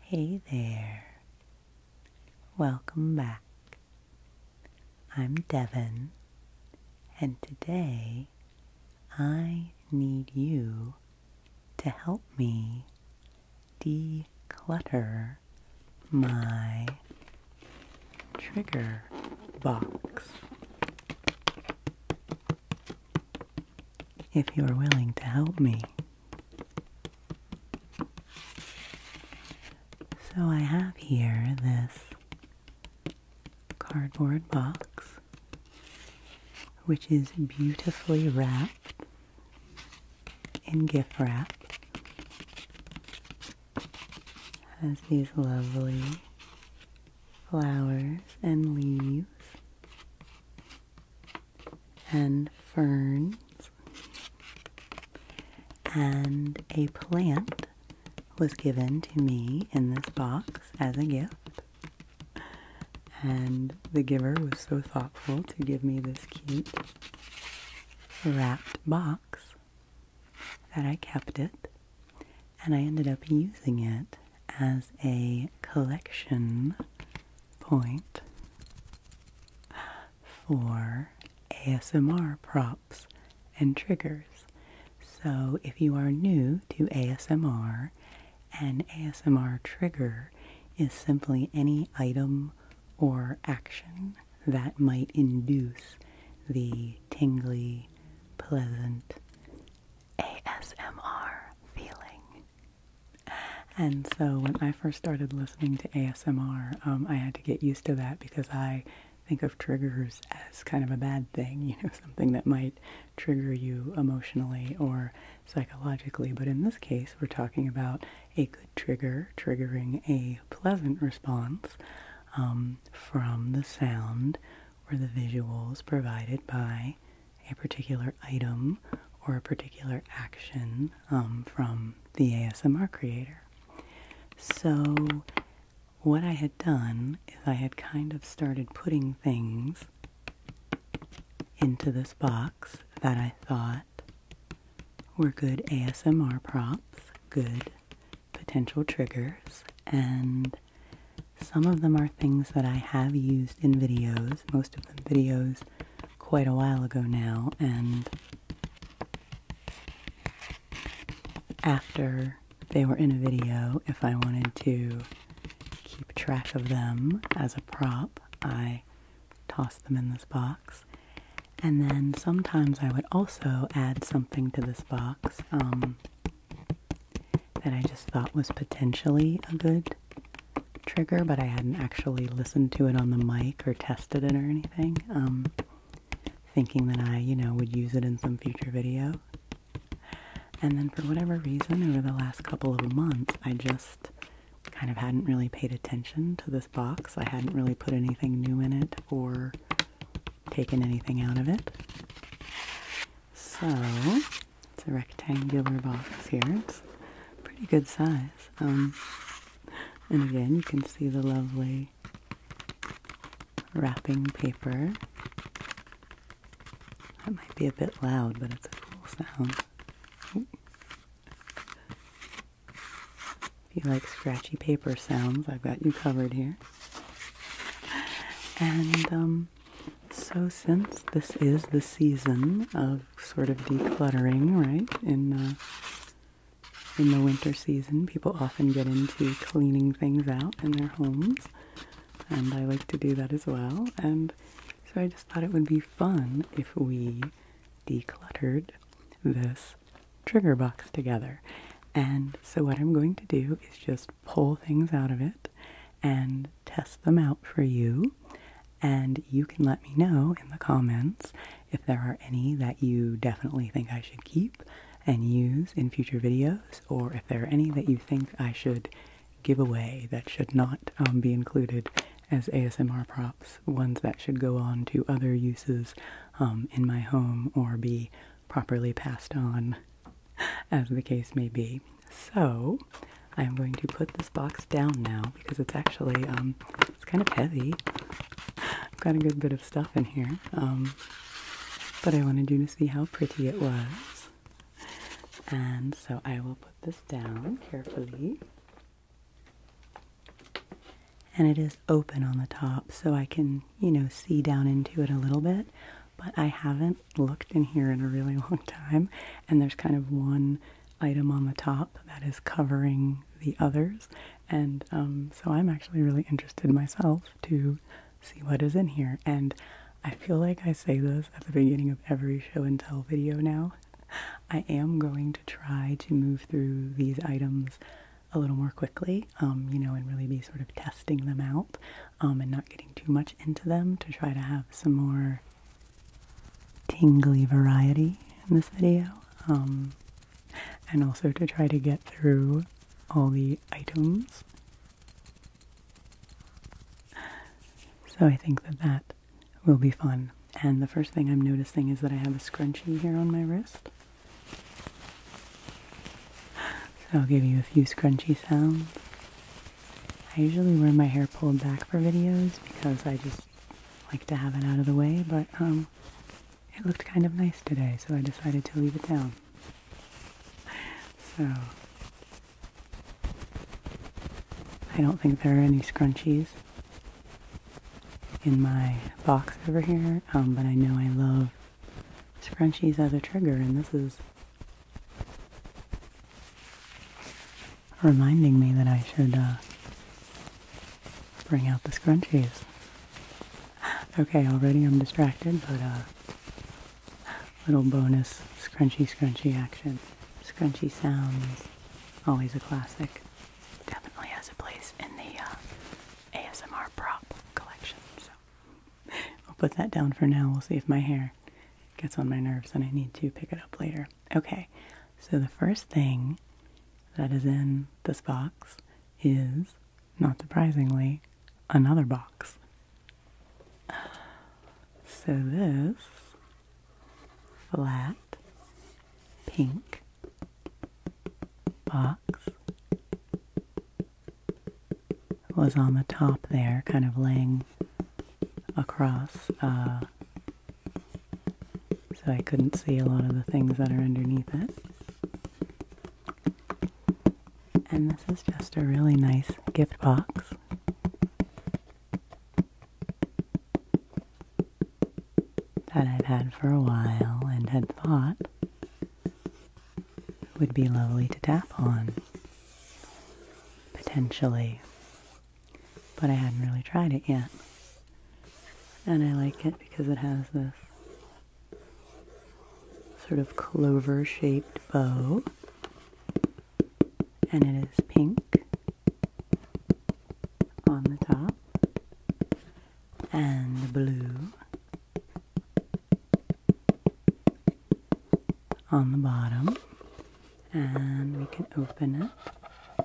Hey there. Welcome back. I'm Devon, and today I need you to help me declutter my trigger box. If you are willing to help me. So I have here this cardboard box which is beautifully wrapped in gift wrap. Has these lovely flowers and leaves and ferns and a plant was given to me in this box as a gift and the giver was so thoughtful to give me this cute wrapped box that I kept it and I ended up using it as a collection point for ASMR props and triggers. So, if you are new to ASMR, an ASMR trigger is simply any item or action that might induce the tingly, pleasant ASMR feeling. And so when I first started listening to ASMR, um, I had to get used to that because I think of triggers as kind of a bad thing, you know, something that might trigger you emotionally or psychologically. But in this case, we're talking about a good trigger triggering a pleasant response um, from the sound or the visuals provided by a particular item or a particular action um, from the ASMR creator. So, what I had done is I had kind of started putting things into this box that I thought were good ASMR props, good potential triggers, and some of them are things that I have used in videos, most of them videos quite a while ago now, and after they were in a video, if I wanted to keep track of them as a prop, I tossed them in this box. And then sometimes I would also add something to this box um, that I just thought was potentially a good trigger, but I hadn't actually listened to it on the mic or tested it or anything. Um, thinking that I, you know, would use it in some future video. And then for whatever reason, over the last couple of months, I just kind of hadn't really paid attention to this box. I hadn't really put anything new in it or taken anything out of it. So it's a rectangular box here. It's pretty good size. Um, and again, you can see the lovely wrapping paper. That might be a bit loud, but it's a cool sound. If you like scratchy paper sounds, I've got you covered here. And um, so, since this is the season of sort of decluttering, right? In uh, in the winter season, people often get into cleaning things out in their homes, and I like to do that as well. And so I just thought it would be fun if we decluttered this trigger box together. And so what I'm going to do is just pull things out of it and test them out for you and you can let me know in the comments if there are any that you definitely think I should keep and use in future videos, or if there are any that you think I should give away that should not um, be included as ASMR props, ones that should go on to other uses um, in my home or be properly passed on, as the case may be. So, I'm going to put this box down now because it's actually um, it's kind of heavy. I've got a good bit of stuff in here. Um, but I wanted you to see how pretty it was. And so I will put this down carefully. And it is open on the top so I can, you know, see down into it a little bit. But I haven't looked in here in a really long time. And there's kind of one item on the top that is covering the others. And um, so I'm actually really interested myself to see what is in here. And I feel like I say this at the beginning of every show and tell video now. I am going to try to move through these items a little more quickly, um, you know, and really be sort of testing them out um, and not getting too much into them to try to have some more tingly variety in this video, um, and also to try to get through all the items. So I think that that will be fun. And the first thing I'm noticing is that I have a scrunchie here on my wrist. So I'll give you a few scrunchy sounds. I usually wear my hair pulled back for videos because I just like to have it out of the way, but um, it looked kind of nice today, so I decided to leave it down. So, I don't think there are any scrunchies in my box over here, um, but I know I love scrunchies as a trigger, and this is reminding me that I should uh, bring out the scrunchies. Okay, already I'm distracted, but uh, little bonus scrunchy scrunchy action. Scrunchy sounds, always a classic. Definitely has a place in the uh, ASMR prop collection. So I'll put that down for now. We'll see if my hair gets on my nerves and I need to pick it up later. Okay, so the first thing that is in this box is, not surprisingly, another box. So this flat pink box was on the top there, kind of laying across uh, so I couldn't see a lot of the things that are underneath it. And this is just a really nice gift box. That I've had for a while and had thought would be lovely to tap on potentially but I hadn't really tried it yet. And I like it because it has this sort of clover shaped bow, and it is pink on the top and blue on the bottom and we can open it.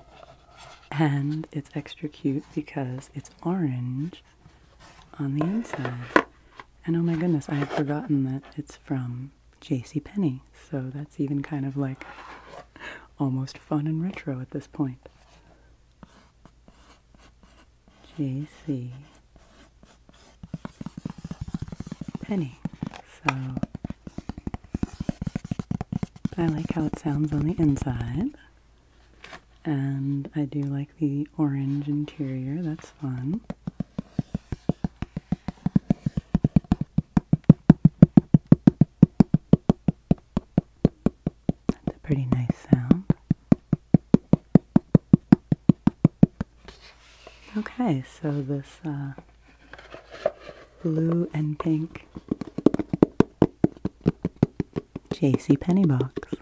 And it's extra cute because it's orange on the inside. And oh my goodness, I had forgotten that it's from J.C. Penny. so that's even kind of like almost fun and retro at this point. JC Penny. So I like how it sounds on the inside. And I do like the orange interior, that's fun. That's a pretty nice sound. Okay, so this uh, blue and pink JC Penny box.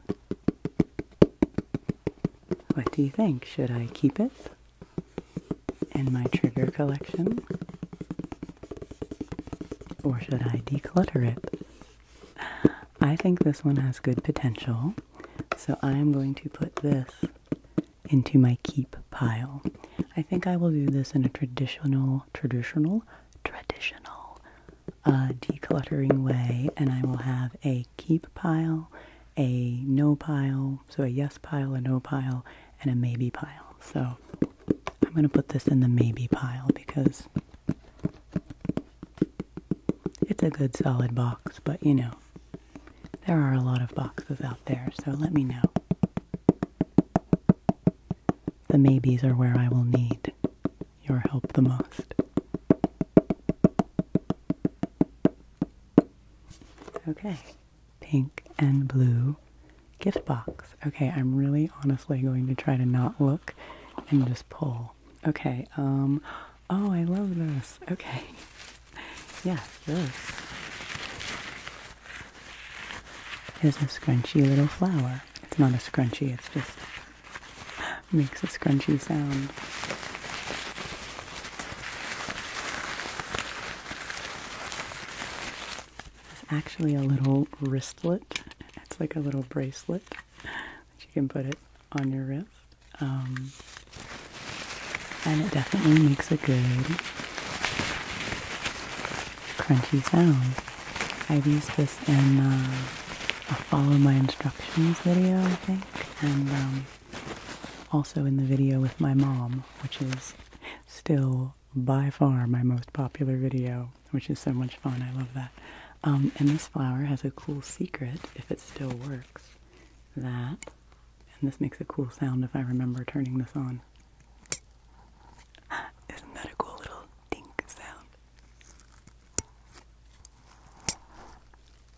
What do you think? Should I keep it in my trigger collection? Or should I declutter it? I think this one has good potential, so I'm going to put this into my keep pile. I think I will do this in a traditional, traditional, traditional uh, decluttering way, and I will have a keep pile, a no pile, so a yes pile, a no pile, and a maybe pile. So I'm going to put this in the maybe pile because it's a good solid box, but you know, there are a lot of boxes out there, so let me know. The maybes are where I will need your help the most. Okay, pink and blue gift box. Okay, I'm really honestly going to try to not look and just pull. Okay, um, oh, I love this. Okay, yes, this is a scrunchy little flower. It's not a scrunchy. It just makes a scrunchy sound. It's actually a little wristlet. It's like a little bracelet that you can put it on your wrist. Um, and it definitely makes it good crunchy sound. I've used this in uh, a follow my instructions video, I think, and um, also in the video with my mom, which is still by far my most popular video, which is so much fun. I love that. Um, and this flower has a cool secret, if it still works, that, and this makes a cool sound if I remember turning this on. Isn't that a cool little dink sound?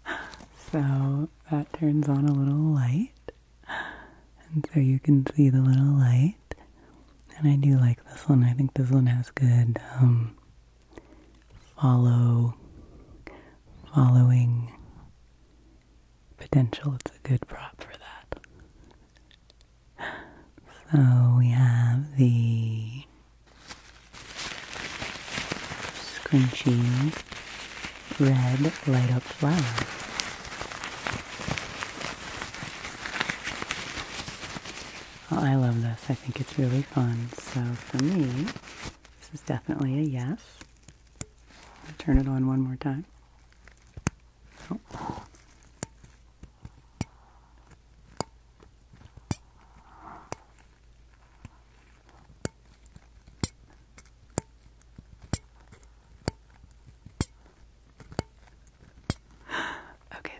So that turns on a little light. And so you can see the little light. And I do like this one. I think this one has good um, follow following potential. It's a good prop for that. So we have the scrunchy red light up flower. Oh, I love this. I think it's really fun. So for me, this is definitely a yes. turn it on one more time. Okay,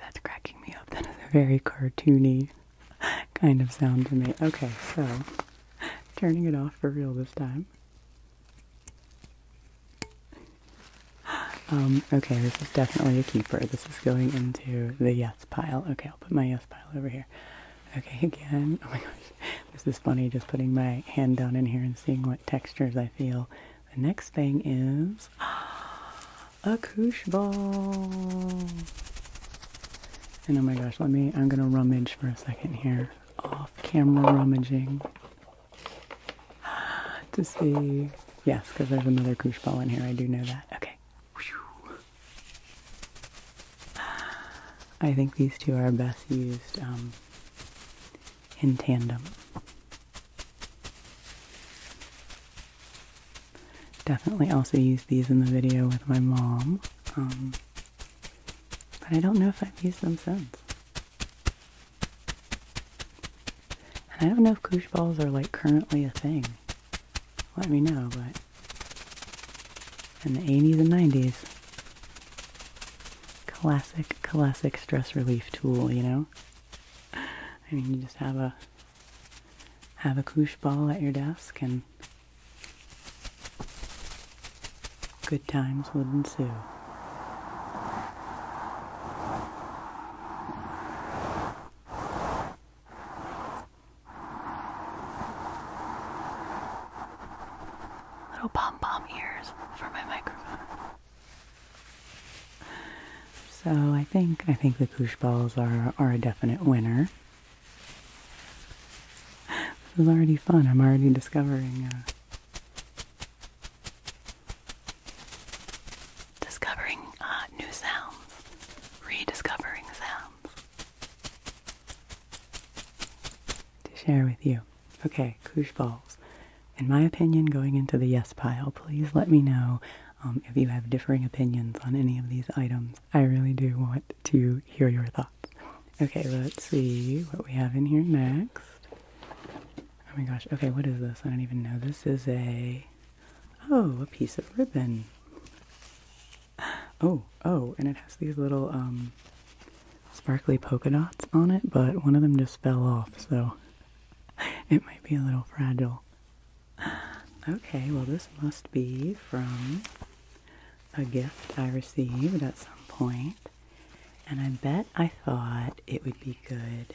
that's cracking me up. That is a very cartoony kind of sound to me. Okay, so turning it off for real this time. Um, okay, this is definitely a keeper. This is going into the yes pile. Okay, I'll put my yes pile over here. Okay, again. Oh my gosh, this is funny just putting my hand down in here and seeing what textures I feel. The next thing is a koosh ball. And oh my gosh, let me, I'm gonna rummage for a second here. Off camera rummaging. to see. Yes, because there's another goosh ball in here. I do know that. Okay. I think these two are best used um, in tandem. Definitely also used these in the video with my mom. Um, but I don't know if I've used them since. And I don't know if koosh balls are like currently a thing. Let me know, but in the 80s and 90s, classic, classic stress relief tool, you know? I mean, you just have a have a koosh ball at your desk and good times would ensue. Little pom pom ears for my microphone. So I think I think the koosh balls are are a definite winner. This is already fun. I'm already discovering uh, Discovering uh, new sounds, rediscovering sounds to share with you. Okay, koosh balls. In my opinion, going into the yes pile, please let me know um, if you have differing opinions on any of these items. I really do want to hear your thoughts. Okay, let's see what we have in here next. Oh my gosh. Okay, what is this? I don't even know. This is a oh, a piece of ribbon. Oh, oh, and it has these little um sparkly polka dots on it, but one of them just fell off, so it might be a little fragile. Okay, well this must be from a gift I received at some point. And I bet I thought it would be good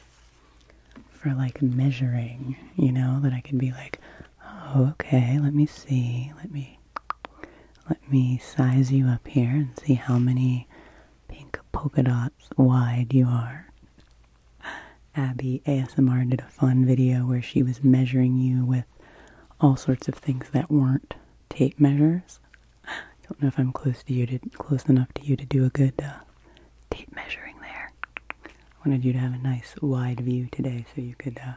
for like measuring, you know, that I could be like, oh, okay, let me see, let me, let me size you up here and see how many pink polka dots wide you are. Abby ASMR did a fun video where she was measuring you with all sorts of things that weren't tape measures. I don't know if I'm close to you to close enough to you to do a good uh, tape measuring there. I wanted you to have a nice wide view today so you could uh,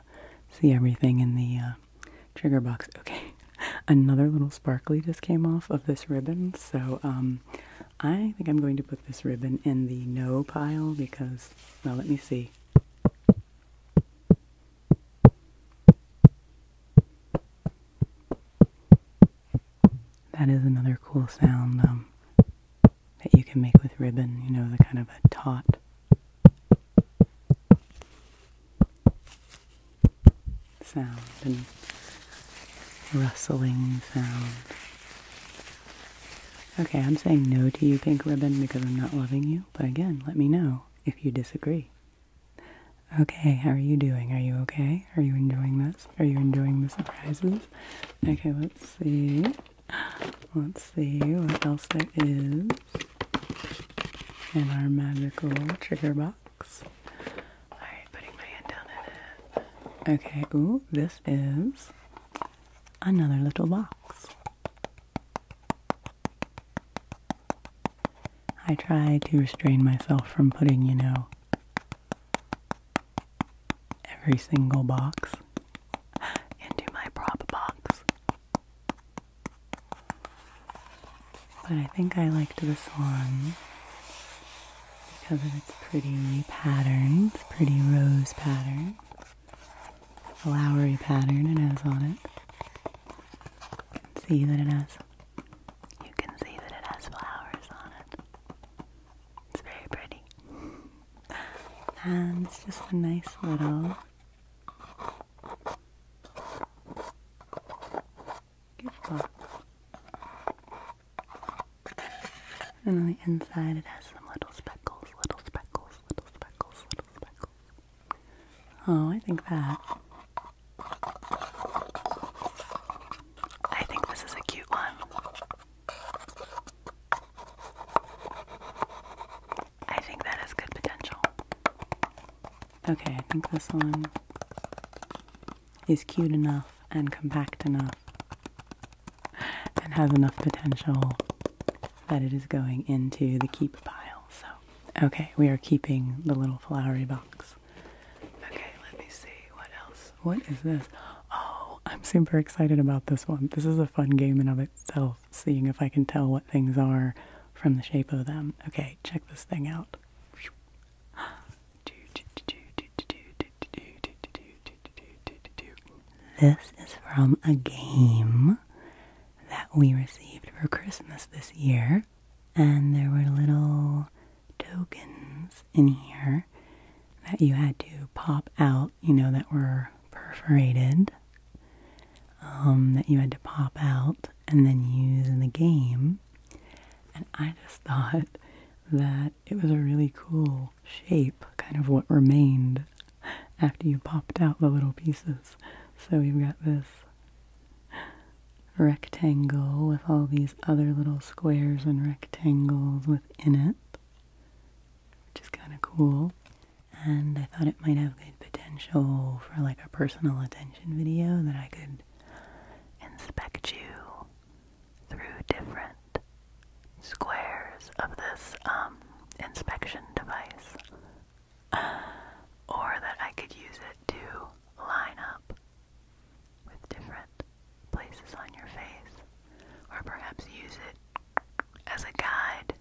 see everything in the uh, trigger box. Okay, another little sparkly just came off of this ribbon, so um, I think I'm going to put this ribbon in the no pile because, well, let me see. That is another cool sound um, that you can make with ribbon, you know, the kind of a taut. Sound and rustling sound. Okay, I'm saying no to you, pink ribbon, because I'm not loving you, but again, let me know if you disagree. Okay, how are you doing? Are you okay? Are you enjoying this? Are you enjoying the surprises? Okay, let's see. Let's see what else there is in our magical trigger box. Alright, putting my hand down in it. Okay, ooh, this is another little box. I try to restrain myself from putting, you know, every single box into my prop box. But I think I liked this one because of its pretty pattern. It's pretty rose pattern, flowery pattern and has on it. see that it has you can see that it has flowers on it. It's very pretty. And it's just a nice little gift box. And on the inside it has some little speckles, little speckles, little speckles, little speckles. Oh, I think that I think this is a cute one. I think that has good potential. Okay, I think this one is cute enough and compact enough and has enough potential that it is going into the keep pile. So, okay, we are keeping the little flowery box. Okay, let me see. What else? What is this? Oh, I'm super excited about this one. This is a fun game in of itself, seeing if I can tell what things are from the shape of them. Okay, check this thing out. This is from a game that we received for Christmas this year and there were little tokens in here that you had to pop out, you know, that were perforated, um, that you had to pop out and then use in the game. And I just thought that it was a really cool shape, kind of what remained after you popped out the little pieces. So we've got this rectangle with all these other little squares and rectangles within it, which is kind of cool. And I thought it might have good potential for like a personal attention video that I could inspect you through different squares of this um, inspection device. Or that I could use it to line up with different places on your face, or perhaps use it as a guide.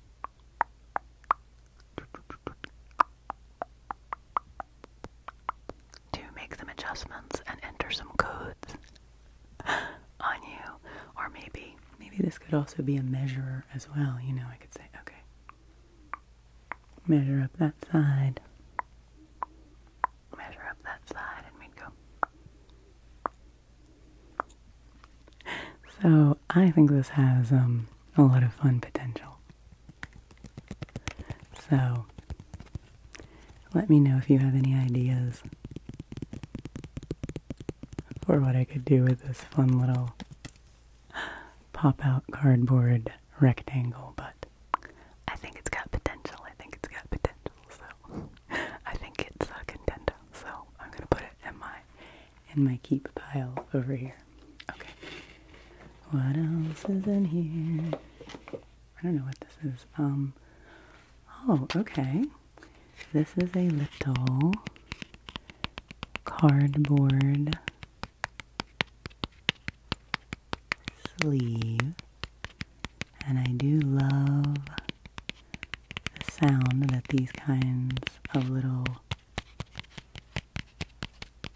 To make some adjustments and enter some codes on you, or maybe maybe this could also be a measurer as well. You know, I could say, okay, measure up that side, measure up that side and we'd go. So I think this has um, a lot of fun potential. So let me know if you have any ideas for what I could do with this fun little pop out cardboard rectangle, but I think it's got potential. I think it's got potential. So I think it's a contender. So I'm gonna put it in my in my keep pile over here. Okay. What else is in here? I don't know what this is. Um. Oh, okay. This is a little cardboard sleeve. And I do love the sound that these kinds of little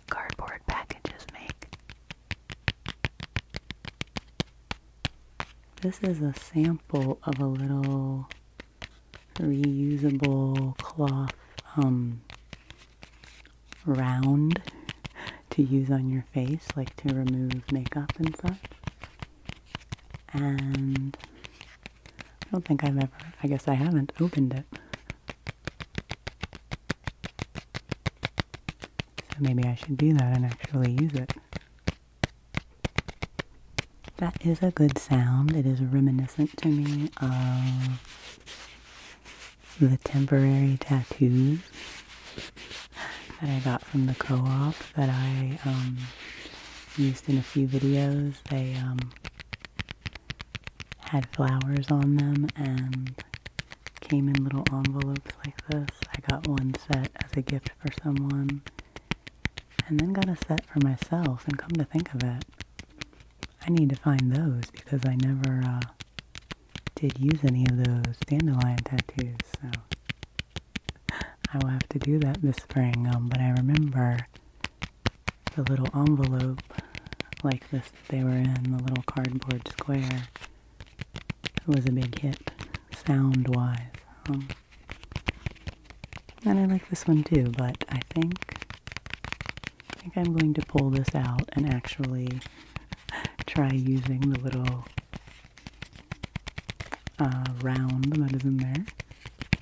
cardboard packages make. This is a sample of a little reusable cloth um, round to use on your face, like to remove makeup and such. And I don't think I've ever, I guess I haven't opened it. So maybe I should do that and actually use it. That is a good sound. It is reminiscent to me of the temporary tattoos that I got from the co-op that I um, used in a few videos. They um, had flowers on them and came in little envelopes like this. I got one set as a gift for someone and then got a set for myself and come to think of it, I need to find those because I never uh, did use any of those dandelion tattoos, so I will have to do that this spring. Um, but I remember the little envelope like this that they were in, the little cardboard square. It was a big hit, sound-wise. Um, and I like this one too, but I think I'm going to pull this out and actually try using the little uh, round that is in there.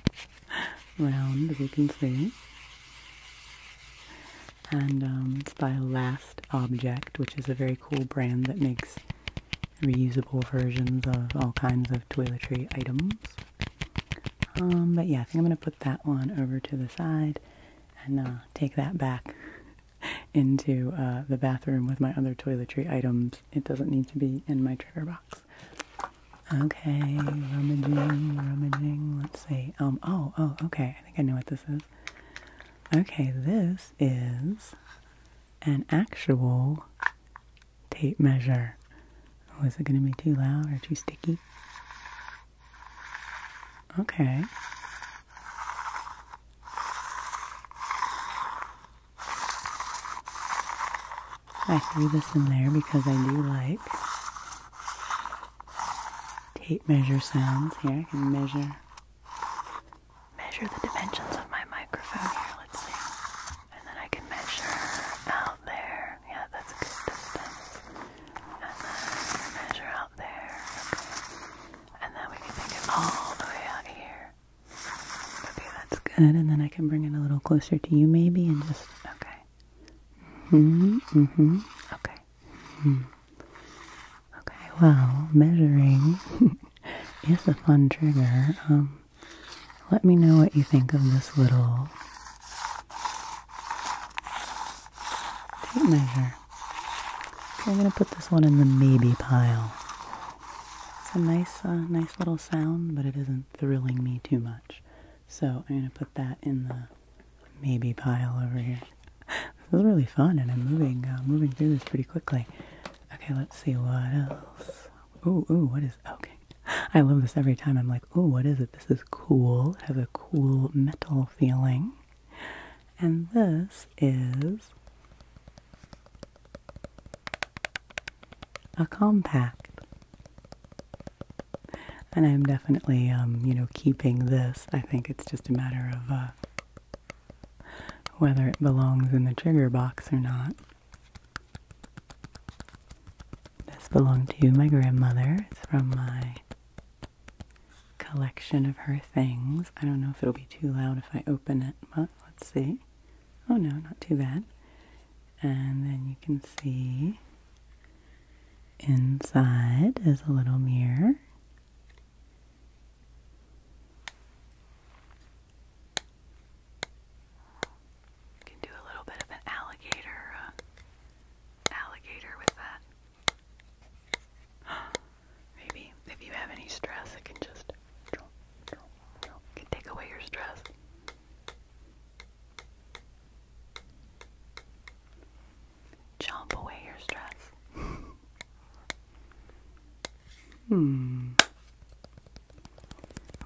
Round, as you can see. And um, it's by Last Object, which is a very cool brand that makes reusable versions of all kinds of toiletry items. Um, but yeah, I think I'm going to put that one over to the side and uh, take that back into uh, the bathroom with my other toiletry items. It doesn't need to be in my trigger box. Okay, rummaging, rummaging. Let's see. Um. Oh. Oh. Okay. I think I know what this is. Okay. This is an actual tape measure. Was oh, it going to be too loud or too sticky? Okay. I threw this in there because I do like tape measure sounds. Here I can measure measure the dimensions of my microphone here, let's see. And then I can measure out there. Yeah, that's a good distance. And then measure out there. And then we can make it all the way out here. Okay, that's good. And then I can bring it a little closer to you maybe and just, okay. Mm-hmm, mm-hmm, okay. Mm. Okay, well, measuring is a fun trigger. Um, let me know what you think of this little measure. I'm gonna put this one in the maybe pile. It's a nice, uh, nice little sound, but it isn't thrilling me too much. So I'm gonna put that in the maybe pile over here. this was really fun, and I'm moving, uh, moving through this pretty quickly. Okay, let's see what else. Ooh, ooh, what is? Okay, I love this every time. I'm like, ooh, what is it? This is cool. has a cool metal feeling. And this is a compact. And I'm definitely, um, you know, keeping this. I think it's just a matter of uh, whether it belongs in the trigger box or not. This belonged to my grandmother. It's from my collection of her things. I don't know if it'll be too loud if I open it, but let's see. Oh no, not too bad. And then you can see inside is a little mirror. can do a little bit of an alligator, uh, alligator with that. Oh, Maybe if you have any stress, it can just can take away your stress. Chomp away your stress. hmm.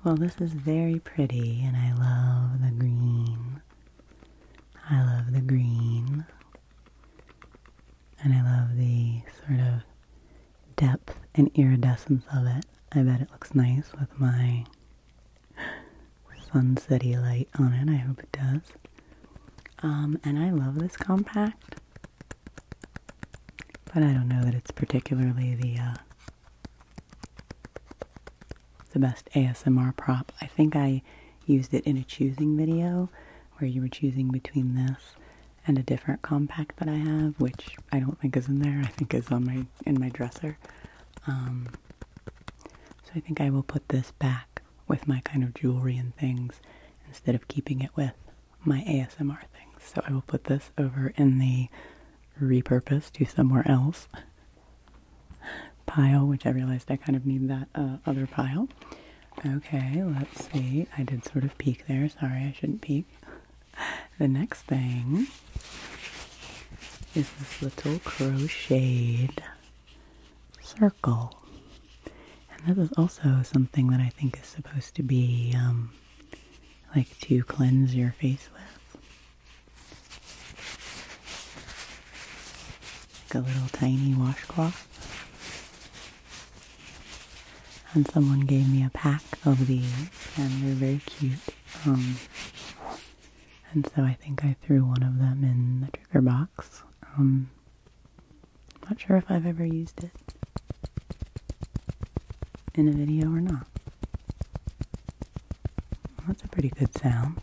Well, this is very pretty, and I love the green. I love the green. And I love the sort of depth and iridescence of it. I bet it looks nice with my sunsetty light on it. I hope it does. Um, and I love this compact. But I don't know that it's particularly the uh, the best ASMR prop. I think I used it in a choosing video where you were choosing between this and a different compact that I have, which I don't think is in there. I think is on my in my dresser. Um, so I think I will put this back with my kind of jewelry and things instead of keeping it with my ASMR things. So I will put this over in the repurpose to somewhere else pile, which I realized I kind of need that uh, other pile. Okay, let's see. I did sort of peek there. Sorry, I shouldn't peek. The next thing is this little crocheted circle. And this is also something that I think is supposed to be um, like to cleanse your face with. Like a little tiny washcloth. And someone gave me a pack of these, and they're very cute. Um, and so I think I threw one of them in the trigger box. Um, not sure if I've ever used it in a video or not. that's a pretty good sound.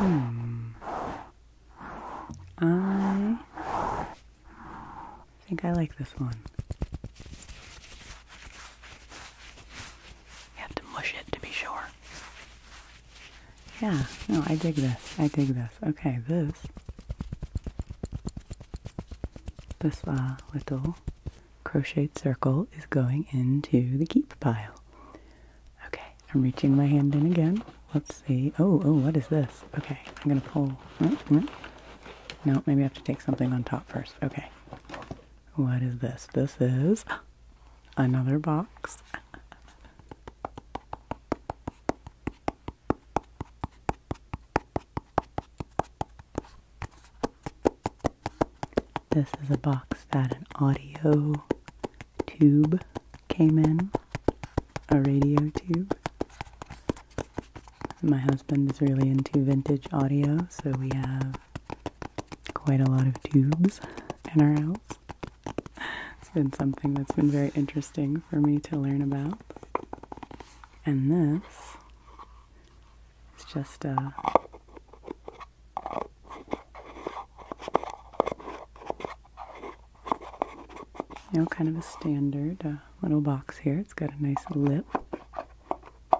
Hmm. I think I like this one. You have to mush it to be sure. Yeah, no, I dig this. I dig this. Okay, this. This uh, little crocheted circle is going into the keep pile. Okay, I'm reaching my hand in again. Let's see. Oh, oh, what is this? Okay, I'm going to pull. Mm, mm. No, maybe I have to take something on top first. Okay. What is this? This is another box. This is a box that an audio tube came in, a radio tube. My husband is really into vintage audio, so we have quite a lot of tubes in our house it's been something that's been very interesting for me to learn about. And this is just a uh, you know, kind of a standard uh, little box here. It's got a nice lip, a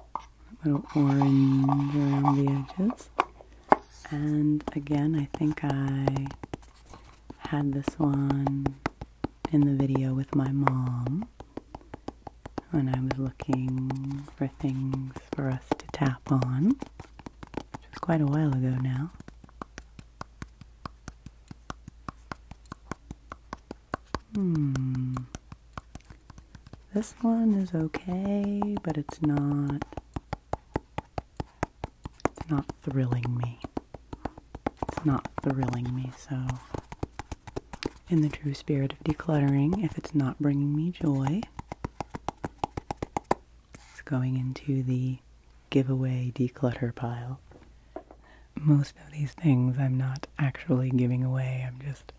little orange around the edges. And again, I think I had this one in the video with my mom when I was looking for things for us to tap on, which was quite a while ago now. Hmm. This one is okay, but it's not it's not thrilling me. It's not thrilling me, so in the true spirit of decluttering, if it's not bringing me joy, it's going into the giveaway declutter pile. Most of these things I'm not actually giving away, I'm just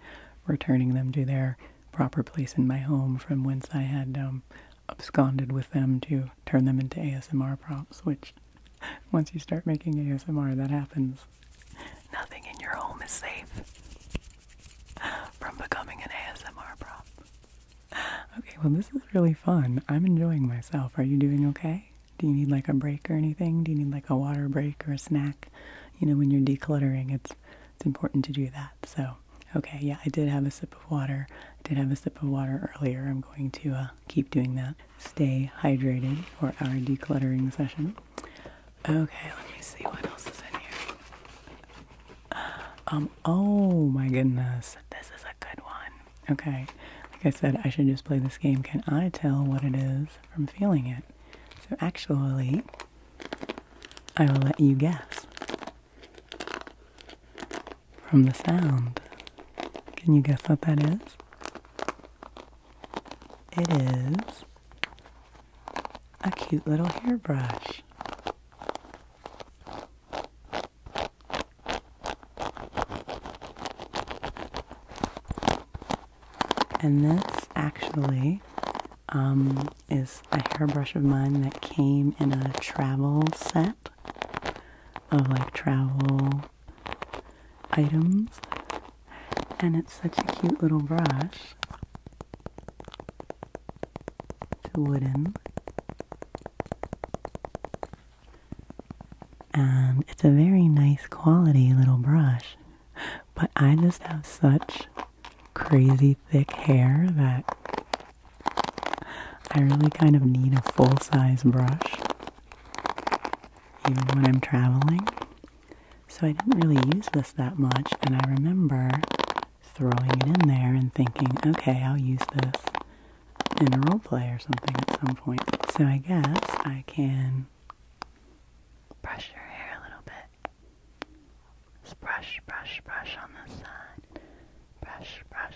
returning them to their proper place in my home from whence I had um, absconded with them to turn them into ASMR props, which once you start making ASMR, that happens. Nothing in your home is safe from becoming an ASMR prop. Okay, well, this is really fun. I'm enjoying myself. Are you doing okay? Do you need like a break or anything? Do you need like a water break or a snack? You know, when you're decluttering, it's it's important to do that. So, okay, yeah, I did have a sip of water. I did have a sip of water earlier. I'm going to uh, keep doing that stay hydrated for our decluttering session. Okay, let me see what else is in here. Um, oh my goodness, this is a good one. Okay, like I said, I should just play this game. Can I tell what it is from feeling it? So actually, I will let you guess from the sound. Can you guess what that is? It is a cute little hairbrush. And this actually um, is a hairbrush of mine that came in a travel set of like travel items. And it's such a cute little brush. It's wooden. And it's a very nice quality little brush. But I just have such crazy thick hair that I really kind of need a full size brush even when I'm traveling. So I didn't really use this that much, and I remember throwing it in there and thinking, okay, I'll use this in a role play or something at some point. So I guess I can brush your hair a little bit. Just brush, brush, brush on this side. Brush, brush,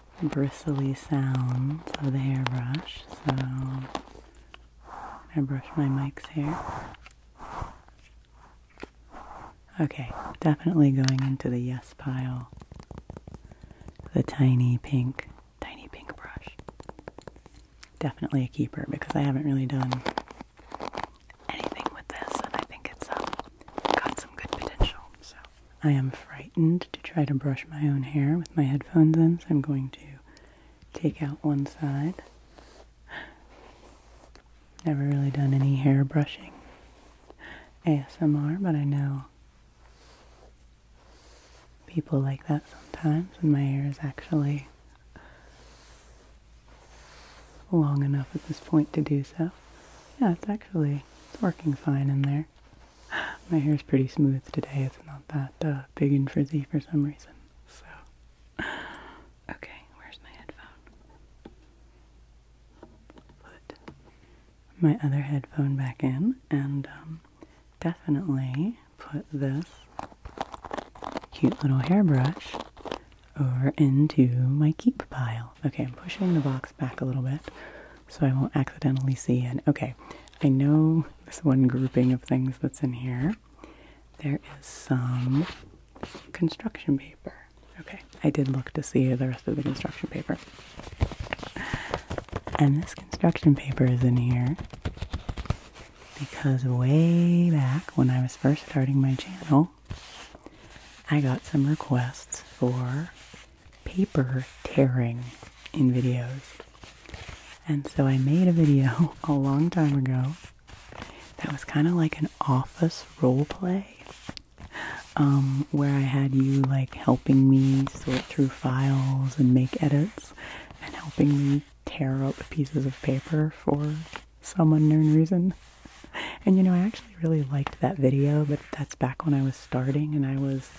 bristly sounds of the hairbrush. So I brush my mic's hair. Okay, definitely going into the yes pile. The tiny pink, tiny pink brush. Definitely a keeper because I haven't really done anything with this and I think it's um, got some good potential. So I am frightened to try to brush my own hair with my headphones in, so I'm going to take out one side. Never really done any hair brushing ASMR, but I know people like that sometimes, and my hair is actually long enough at this point to do so. Yeah, it's actually it's working fine in there. My hair. is pretty smooth today. It's not that uh, big and frizzy for some reason. So, okay, where's my headphone? Put my other headphone back in and um, definitely put this cute little hairbrush over into my keep pile. Okay, I'm pushing the box back a little bit so I won't accidentally see it. Okay, I know this one grouping of things that's in here. There is some construction paper. Okay, I did look to see the rest of the construction paper. And this construction paper is in here because way back when I was first starting my channel, I got some requests for paper tearing in videos. And so I made a video a long time ago that was kind of like an office role play um, where I had you like helping me sort through files and make edits and helping me tear up pieces of paper for some unknown reason. And you know, I actually I really liked that video, but that's back when I was starting and I was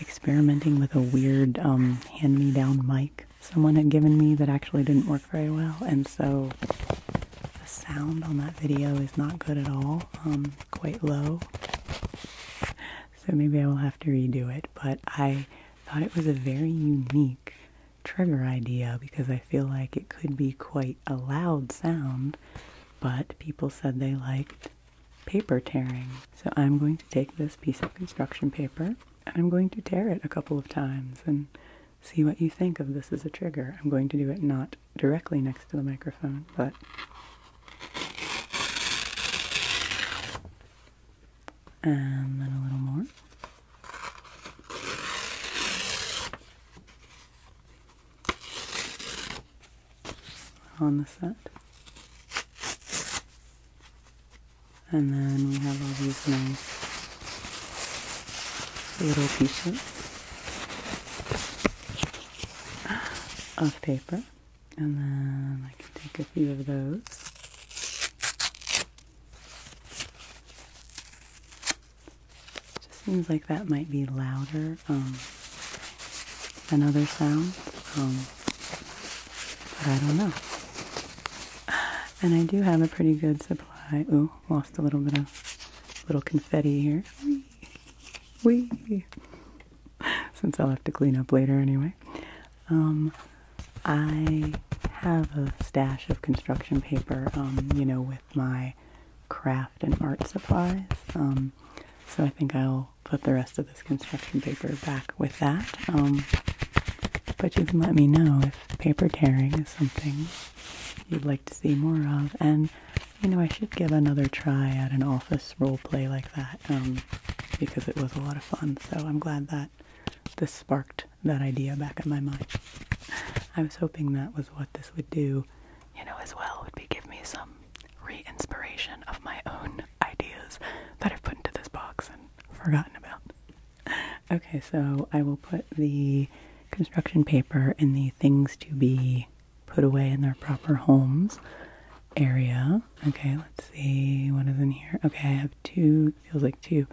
experimenting with a weird um, hand-me-down mic someone had given me that actually didn't work very well. And so the sound on that video is not good at all, um, quite low. So maybe I will have to redo it. But I thought it was a very unique trigger idea because I feel like it could be quite a loud sound, but people said they liked paper tearing. So I'm going to take this piece of construction paper. and I'm going to tear it a couple of times and see what you think of this as a trigger. I'm going to do it not directly next to the microphone, but and then a little more on the set. And then we have all these nice little pieces of paper. And then I can take a few of those. It just seems like that might be louder um, than other sounds. Um, but I don't know. And I do have a pretty good supply. Ooh, lost a little bit of little confetti here. Wee. Wee. Since I'll have to clean up later anyway. Um, I have a stash of construction paper, um, you know, with my craft and art supplies. Um, so I think I'll put the rest of this construction paper back with that. Um, but you can let me know if paper tearing is something you'd like to see more of. And, you know, I should give another try at an office role play like that um, because it was a lot of fun. So I'm glad that this sparked that idea back in my mind. I was hoping that was what this would do you know, as well would be give me some re inspiration of my own ideas that I've put into this box and forgotten about. Okay, so I will put the construction paper in the things to be put away in their proper homes area. Okay, let's see what is in here. Okay, I have two, feels like two.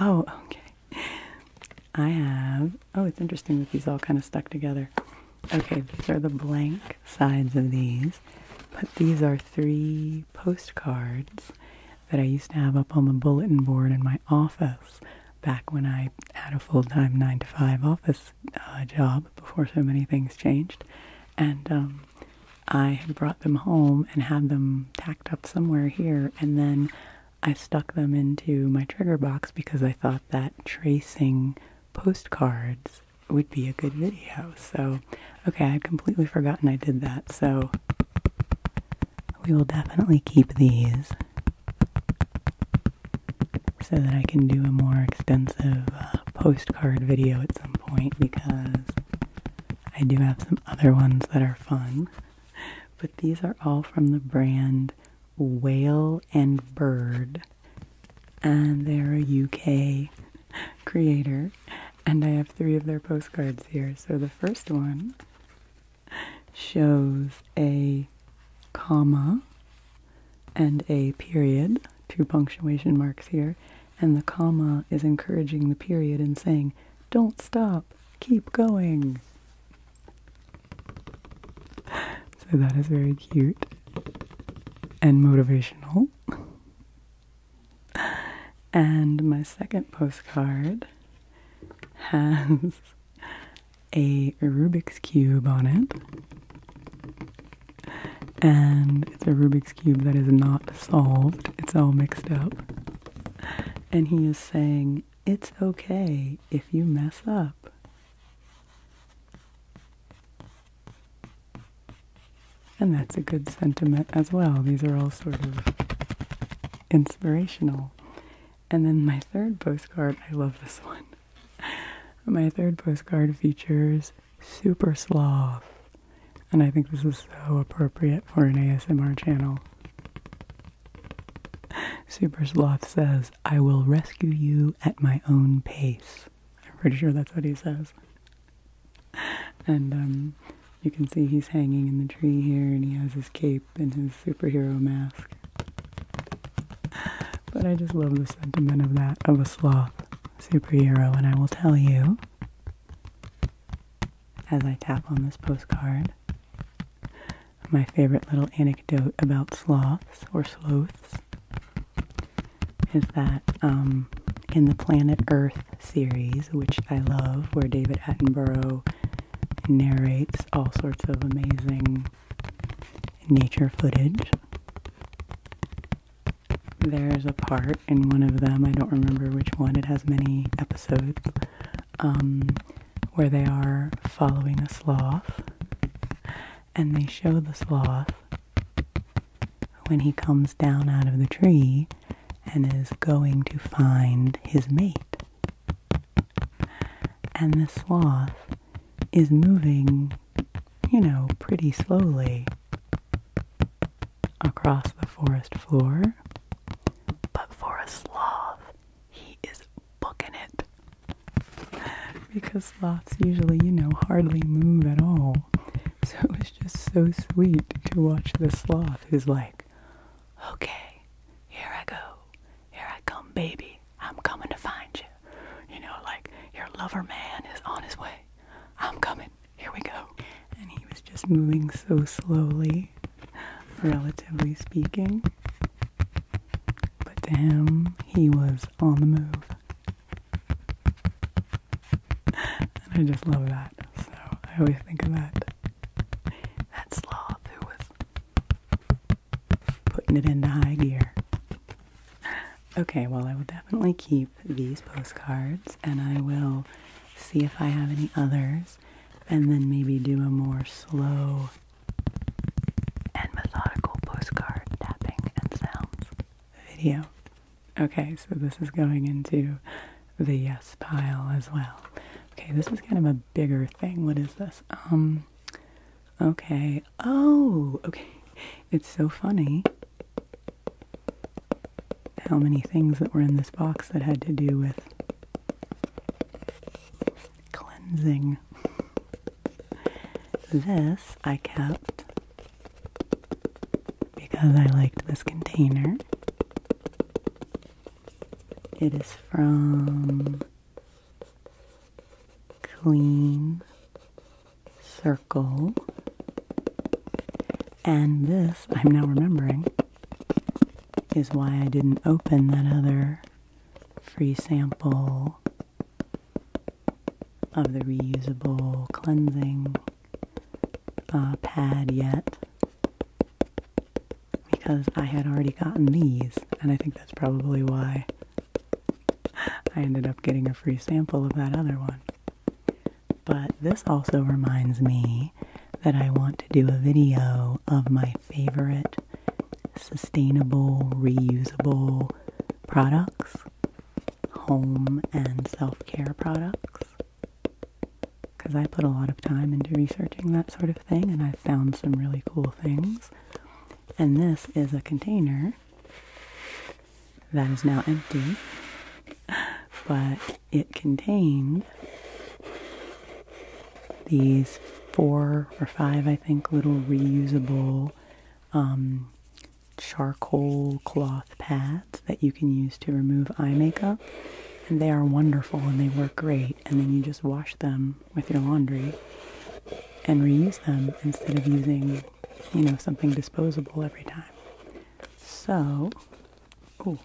Oh, okay. I have, oh, it's interesting that these all kind of stuck together. Okay, these are the blank sides of these, but these are three postcards that I used to have up on the bulletin board in my office back when I had a full-time 9 to 5 office uh, job before so many things changed. And um, I had brought them home and had them tacked up somewhere here and then I stuck them into my trigger box because I thought that tracing postcards would be a good video. So, okay, I'd completely forgotten I did that. So, we will definitely keep these so that I can do a more extensive uh, postcard video at some point because I do have some other ones that are fun. But these are all from the brand Whale and Bird and they're a UK creator. And I have three of their postcards here. So the first one shows a comma and a period, two punctuation marks here. And the comma is encouraging the period and saying, don't stop, keep going. So that is very cute and motivational. And my second postcard has a Rubik's Cube on it. And it's a Rubik's Cube that is not solved, it's all mixed up. And he is saying, It's okay if you mess up. And that's a good sentiment as well. These are all sort of inspirational. And then my third postcard, I love this one. My third postcard features Super Sloth. And I think this is so appropriate for an ASMR channel. Super Sloth says, I will rescue you at my own pace. I'm pretty sure that's what he says. And um, you can see he's hanging in the tree here, and he has his cape and his superhero mask. But I just love the sentiment of that of a sloth superhero, and I will tell you as I tap on this postcard my favorite little anecdote about sloths or sloths is that um, in the Planet Earth series, which I love, where David Attenborough narrates all sorts of amazing nature footage, there's a part in one of them, I don't remember which one, it has many episodes, um, where they are following a sloth and they show the sloth when he comes down out of the tree and is going to find his mate. And the sloth is moving, you know, pretty slowly across the forest floor. But for a sloth, he is booking it. because sloths usually, you know, hardly move at all. So it was just so sweet to watch the sloth who's like, okay, here I go. Here I come, baby. I'm coming to find you. You know, like, your lover man is on his way. I'm coming. Here we go. And he was just moving so slowly, relatively speaking. But to him, he was on the move and I just love that. So I always think of that. That sloth who was putting it into high gear. Okay, well, I will definitely keep these postcards and I will see if I have any others and then maybe do a more slow and methodical postcard tapping and sounds video. Okay, so this is going into the yes pile as well. Okay, this is kind of a bigger thing. What is this? Um, okay. Oh, okay. It's so funny how many things that were in this box that had to do with cleansing. This I kept because I liked this container. It is from Clean Circle. And this, I'm now remembering, is why I didn't open that other free sample of the reusable cleansing uh, pad yet because I had already gotten these, and I think that's probably why I ended up getting a free sample of that other one. But this also reminds me that I want to do a video of my favorite sustainable, reusable products home and self-care products because I put a lot of time into researching that sort of thing and i found some really cool things. And this is a container that is now empty, but it contained these four or five, I think, little reusable um, charcoal cloth pads that you can use to remove eye makeup. And they are wonderful and they work great. And then you just wash them with your laundry and reuse them instead of using, you know, something disposable every time. So, oh,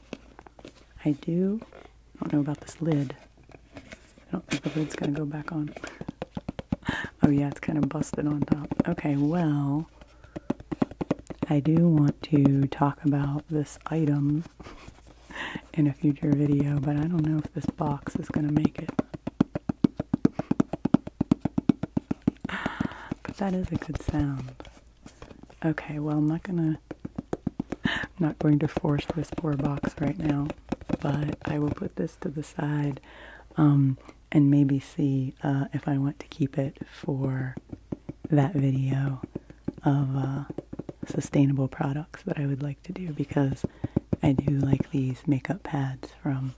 I do, I don't know about this lid. I don't think the lid's gonna go back on oh yeah, it's kind of busted on top. Okay, well, I do want to talk about this item in a future video, but I don't know if this box is going to make it. But that is a good sound. Okay, well, I'm not going to not going to force this poor box right now, but I will put this to the side. Um, and maybe see uh, if I want to keep it for that video of uh, sustainable products that I would like to do because I do like these makeup pads from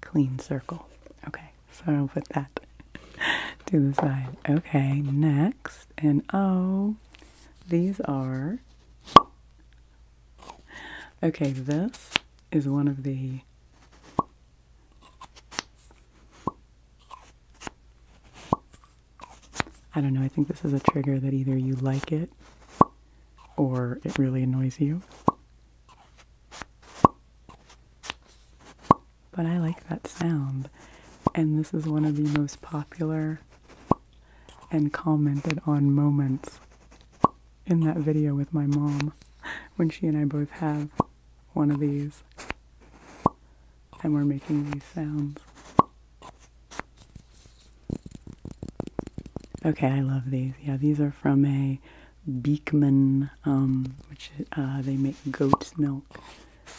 Clean Circle. Okay, so I'll put that to the side. Okay, next, and oh, these are. Okay, this is one of the I don't know, I think this is a trigger that either you like it or it really annoys you. But I like that sound, and this is one of the most popular and commented on moments in that video with my mom when she and I both have one of these and we're making these sounds. Okay, I love these. Yeah, these are from a Beekman, um, which uh, they make goat's milk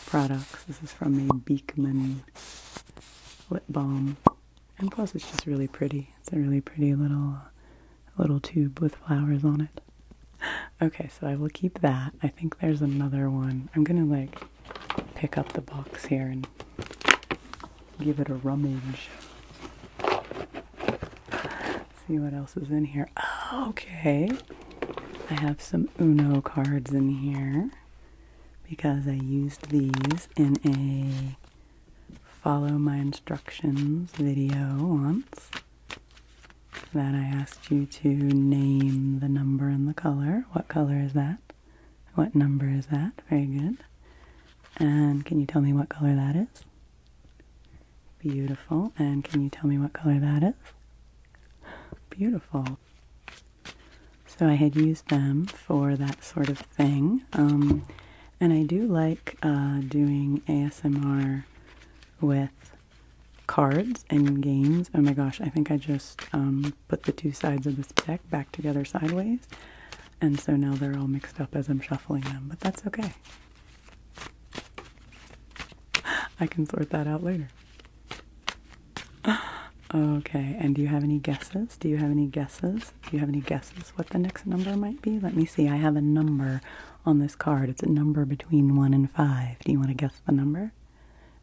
products. This is from a Beekman lip balm. And plus it's just really pretty. It's a really pretty little a little tube with flowers on it. Okay, so I will keep that. I think there's another one. I'm gonna like pick up the box here and give it a rummage. See what else is in here. okay. I have some Uno cards in here because I used these in a follow my instructions video once that I asked you to name the number and the color. What color is that? What number is that? Very good. And can you tell me what color that is? Beautiful. And can you tell me what color that is? Beautiful. So I had used them for that sort of thing. Um, and I do like uh, doing ASMR with cards and games. Oh my gosh, I think I just um, put the two sides of this deck back together sideways. And so now they're all mixed up as I'm shuffling them, but that's okay. I can sort that out later. Okay, and do you have any guesses? Do you have any guesses? Do you have any guesses what the next number might be? Let me see. I have a number on this card. It's a number between 1 and 5. Do you want to guess the number?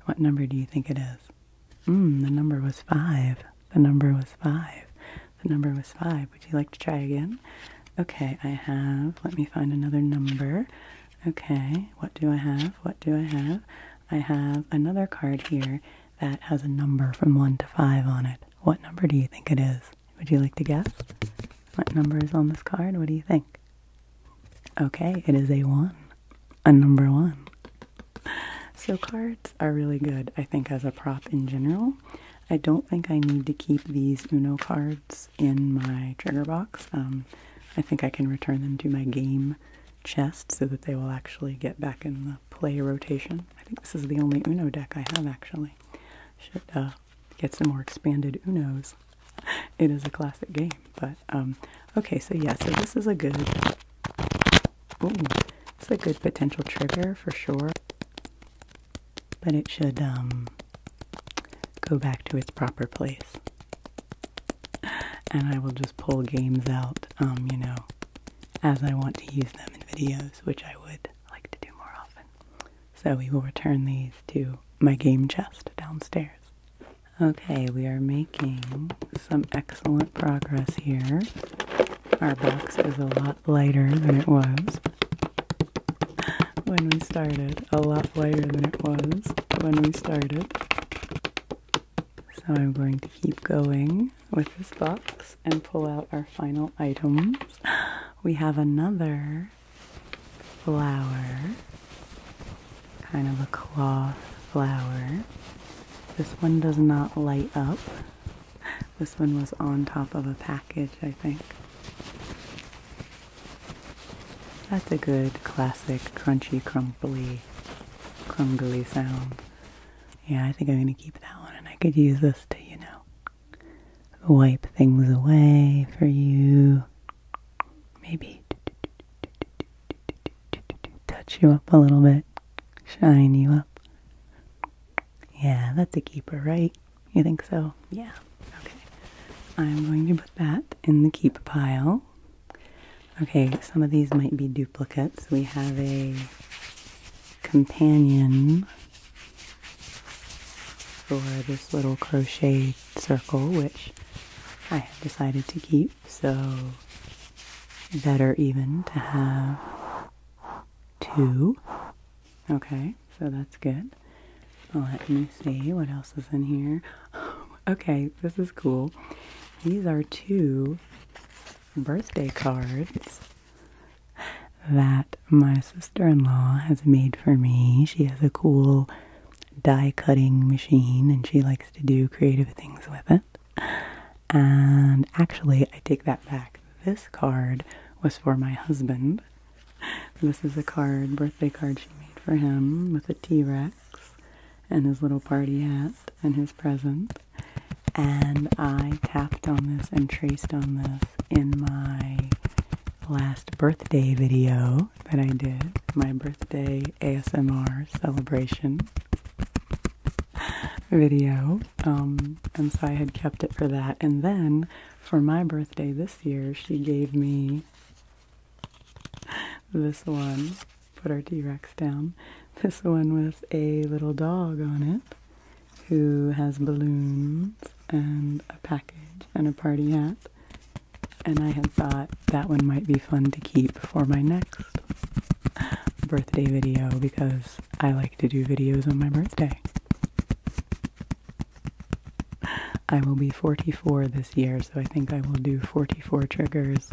What number do you think it is? Mmm, the number was 5. The number was 5. The number was 5. Would you like to try again? Okay, I have. Let me find another number. Okay, what do I have? What do I have? I have another card here that has a number from 1 to 5 on it. What number do you think it is? Would you like to guess what number is on this card? What do you think? Okay, it is a one, a number one. So cards are really good, I think, as a prop in general. I don't think I need to keep these Uno cards in my trigger box. Um, I think I can return them to my game chest so that they will actually get back in the play rotation. I think this is the only Uno deck I have actually. Should uh, get some more expanded Unos. It is a classic game, but um, okay. So yeah, so this is a good, it's a good potential trigger for sure. But it should um, go back to its proper place. And I will just pull games out, um, you know, as I want to use them in videos, which I would like to do more often. So we will return these to my game chest downstairs. Okay, we are making some excellent progress here. Our box is a lot lighter than it was when we started. A lot lighter than it was when we started. So I'm going to keep going with this box and pull out our final item. we have another flower, kind of a cloth flower. This one does not light up. This one was on top of a package, I think. That's a good classic crunchy, crumply, crumbly sound. Yeah, I think I'm going to keep that one and I could use this to, you know, wipe things away for you, maybe touch you up a little bit, shine you up. Yeah, that's a keeper, right? You think so? Yeah. Okay. I'm going to put that in the keep pile. Okay, some of these might be duplicates. We have a companion for this little crochet circle, which I have decided to keep, so better even to have two. Okay, so that's good. Let me see what else is in here. okay, this is cool. These are two birthday cards that my sister in law has made for me. She has a cool die cutting machine and she likes to do creative things with it. And actually, I take that back. This card was for my husband. This is a card, birthday card she made for him with a T Rex and his little party hat and his present. And I tapped on this and traced on this in my last birthday video that I did, my birthday ASMR celebration video. Um, and so I had kept it for that. And then for my birthday this year, she gave me this one. Put our T Rex down. This one with a little dog on it who has balloons and a package and a party hat. And I had thought that one might be fun to keep for my next birthday video because I like to do videos on my birthday. I will be 44 this year, so I think I will do 44 triggers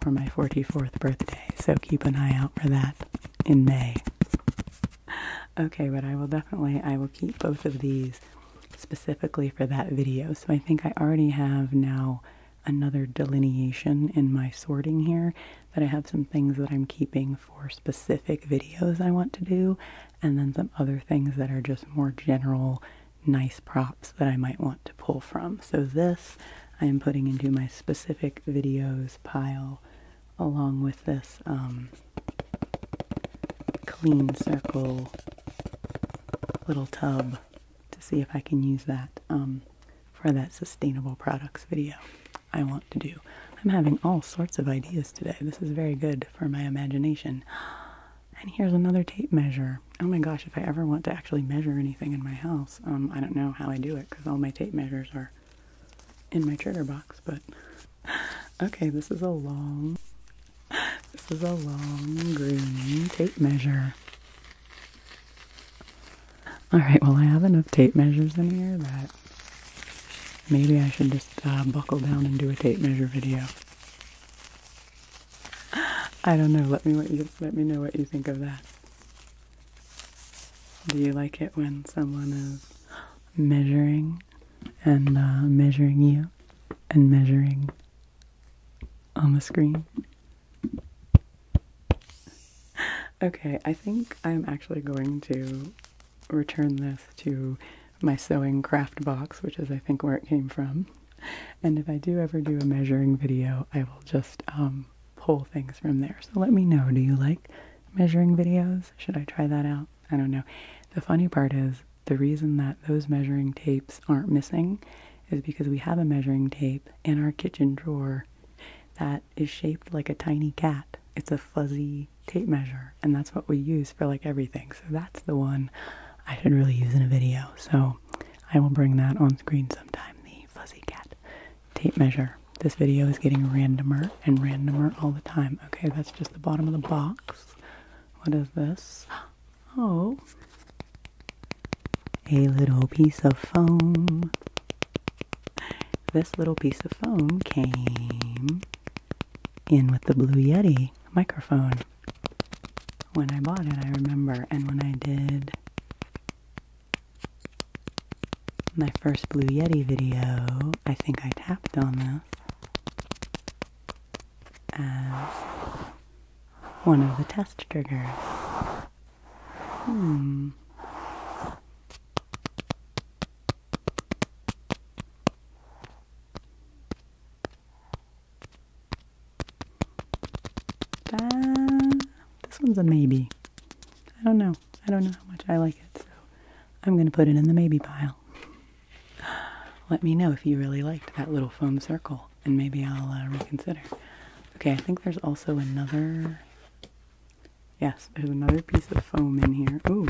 for my 44th birthday, so keep an eye out for that in May. Okay, but I will definitely I will keep both of these specifically for that video. So I think I already have now another delineation in my sorting here that I have some things that I'm keeping for specific videos I want to do and then some other things that are just more general nice props that I might want to pull from. So this I am putting into my specific videos pile along with this um, clean circle little tub to see if I can use that um, for that sustainable products video I want to do. I'm having all sorts of ideas today. This is very good for my imagination. And here's another tape measure. Oh my gosh, if I ever want to actually measure anything in my house, um, I don't know how I do it because all my tape measures are in my trigger box, but okay, this is a long this is a long green tape measure. Alright, well I have enough tape measures in here that maybe I should just uh, buckle down and do a tape measure video. I don't know. Let me what you, let me know what you think of that. Do you like it when someone is measuring and uh, measuring you and measuring on the screen. Okay, I think I'm actually going to return this to my sewing craft box, which is I think where it came from. And if I do ever do a measuring video, I will just um, pull things from there. So let me know, do you like measuring videos? Should I try that out? I don't know. The funny part is the reason that those measuring tapes aren't missing is because we have a measuring tape in our kitchen drawer that is shaped like a tiny cat. It's a fuzzy tape measure, and that's what we use for like everything. So that's the one I should really use in a video. So I will bring that on screen sometime the fuzzy cat tape measure. This video is getting randomer and randomer all the time. Okay, that's just the bottom of the box. What is this? Oh, a little piece of foam. This little piece of foam came in with the Blue Yeti microphone. When I bought it, I remember, and when I did my first Blue Yeti video, I think I tapped on that as one of the test triggers. Hmm. Uh, this one's a maybe. I don't know. I don't know how much I like it, so I'm going to put it in the maybe pile. Let me know if you really liked that little foam circle, and maybe I'll uh, reconsider. Okay, I think there's also another. Yes, there's another piece of foam in here. Ooh.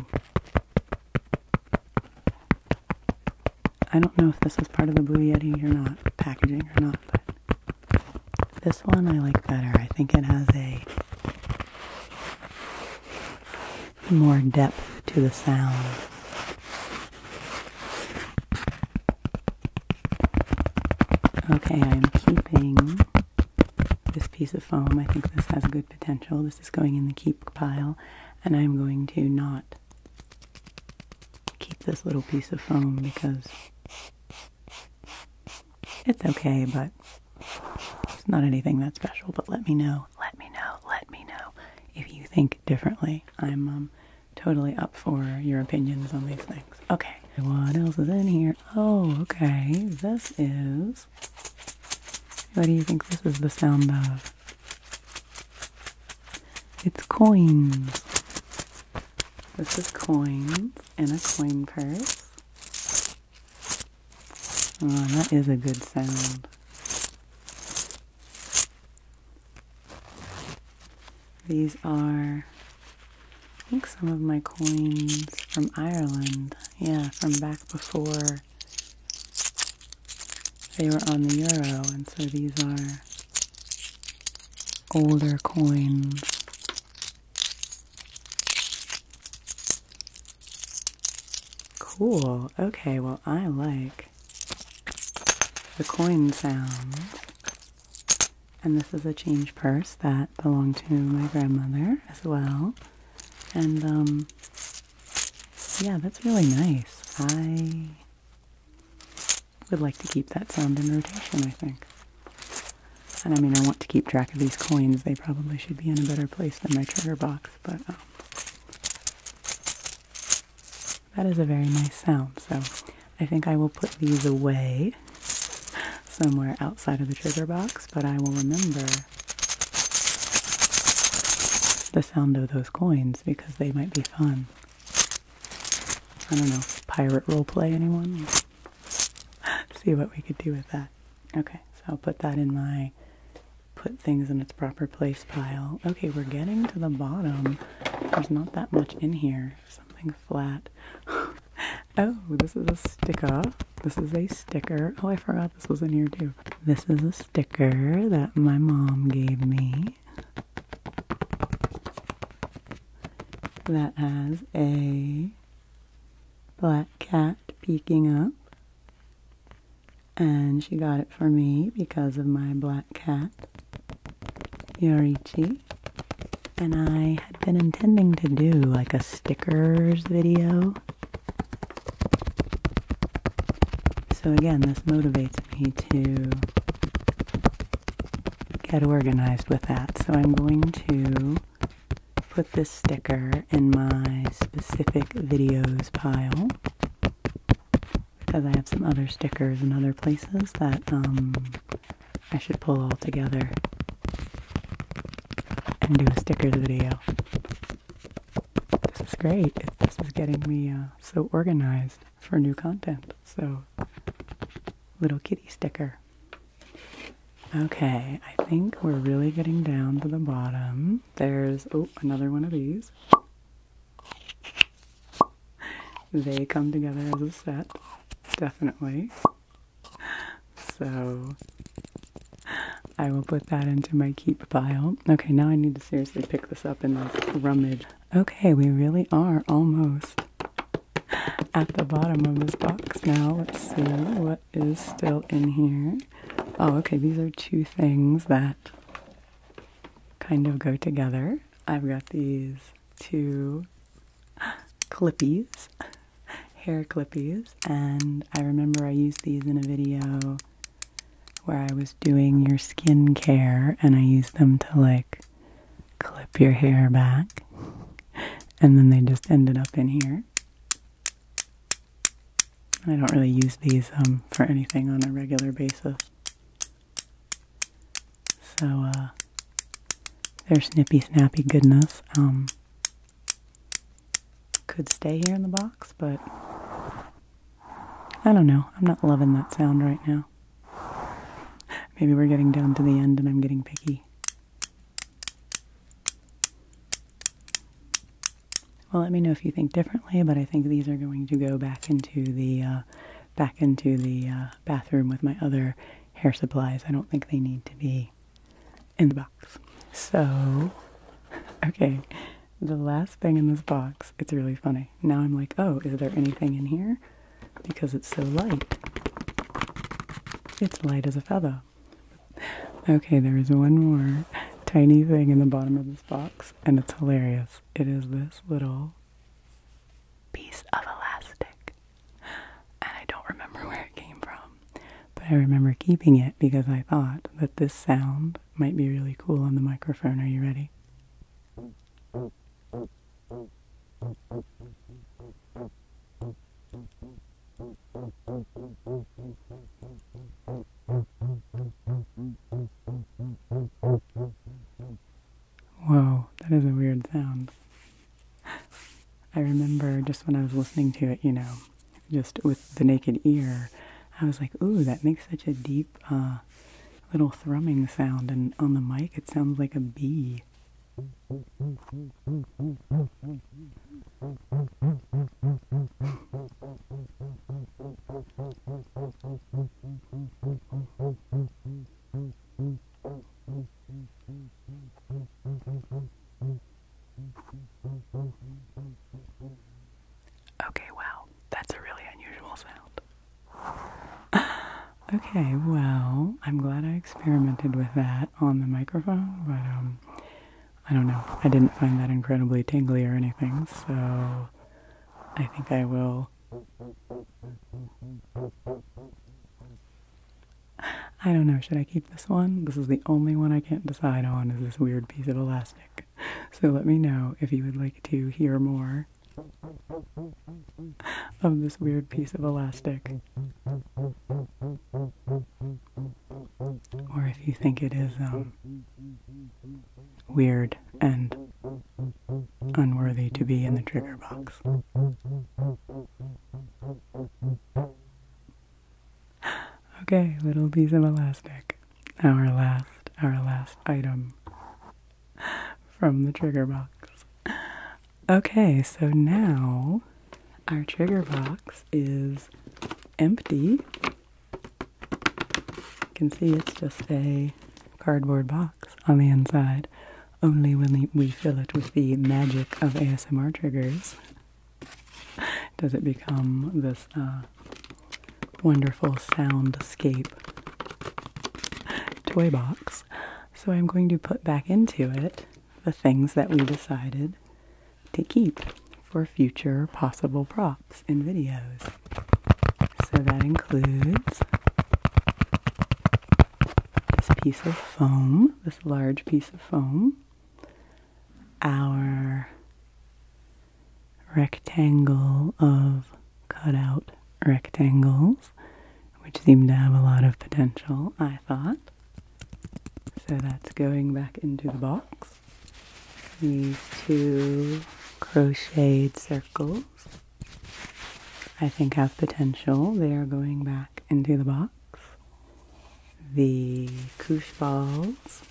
I don't know if this is part of the Blue Yeti or not, packaging or not, but this one I like better. I think it has a more depth to the sound. Okay, I'm keeping this piece of foam. I think this has good potential. This is going in the keep pile, and I'm going to not keep this little piece of foam because it's okay, but it's not anything that special, but let me know, let me know, let me know if you think differently. I'm um, totally up for your opinions on these things. Okay, what else is in here? Oh, okay, this is. What do you think this is the sound of? It's coins. This is coins in a coin purse. Oh, that is a good sound. These are, I think, some of my coins from Ireland. Yeah, from back before they were on the euro, and so these are older coins. Cool. Okay, well, I like the coin sound. And this is a change purse that belonged to my grandmother as well. And, um, yeah, that's really nice. I would like to keep that sound in rotation, I think. And I mean, I want to keep track of these coins. They probably should be in a better place than my trigger box but um, that is a very nice sound. So I think I will put these away somewhere outside of the trigger box, but I will remember the sound of those coins because they might be fun. I don't know, pirate role play anyone? See what we could do with that. Okay, so I'll put that in my put things in its proper place pile. Okay, we're getting to the bottom. There's not that much in here. Something flat. oh, this is a sticker. This is a sticker. Oh, I forgot this was in here too. This is a sticker that my mom gave me that has a black cat peeking up and she got it for me because of my black cat, Yorichi. And I had been intending to do like a stickers video. So again, this motivates me to get organized with that. So I'm going to put this sticker in my specific videos pile because I have some other stickers in other places that um, I should pull all together and do a stickers video. This is great. this is getting me uh, so organized for new content. So, little kitty sticker. Okay, I think we're really getting down to the bottom. There's, oh, another one of these. They come together as a set, definitely. So I will put that into my keep pile. Okay, now I need to seriously pick this up and like rummage. Okay, we really are almost at the bottom of this box now. Let's see what is still in here. Oh, okay, these are two things that kind of go together. I've got these two clippies, hair clippies, and I remember I used these in a video where I was doing your skin care and I used them to like clip your hair back, and then they just ended up in here. I don't really use these um, for anything on a regular basis. So, uh, their snippy snappy goodness um, could stay here in the box, but I don't know. I'm not loving that sound right now. Maybe we're getting down to the end and I'm getting picky. Well, let me know if you think differently, but I think these are going to go back into the uh, back into the uh, bathroom with my other hair supplies. I don't think they need to be in the box. So, okay, the last thing in this box, it's really funny. Now I'm like, oh, is there anything in here? Because it's so light. It's light as a feather. Okay, there is one more tiny thing in the bottom of this box, and it's hilarious. It is this little piece of elastic, and I don't remember where it came from, but I remember keeping it because I thought that this sound might be really cool on the microphone. Are you ready? Whoa, that is a weird sound. I remember just when I was listening to it, you know, just with the naked ear, I was like, ooh, that makes such a deep uh, little thrumming sound. And on the mic, it sounds like a bee. Okay, wow, that's a really unusual sound. okay, well, I'm glad I experimented with that on the microphone, but um, I don't know. I didn't find that incredibly tingly or anything, so I think I will. I don't know. Should I keep this one? This is the only one I can't decide on is this weird piece of elastic. So let me know if you would like to hear more of this weird piece of elastic or if you think it is um, weird and unworthy to be in the trigger box. Okay, little piece of elastic. Our last, our last item from the trigger box. Okay, so now our trigger box is empty you can see it's just a cardboard box on the inside, only when we fill it with the magic of ASMR triggers does it become this uh, wonderful sound scape toy box. So I'm going to put back into it the things that we decided to keep for future possible props and videos. So that includes this piece of foam, this large piece of foam, our rectangle of cutout rectangles, which seem to have a lot of potential, I thought. So that's going back into the box these two crocheted circles I think have potential. They are going back into the box. The koosh balls,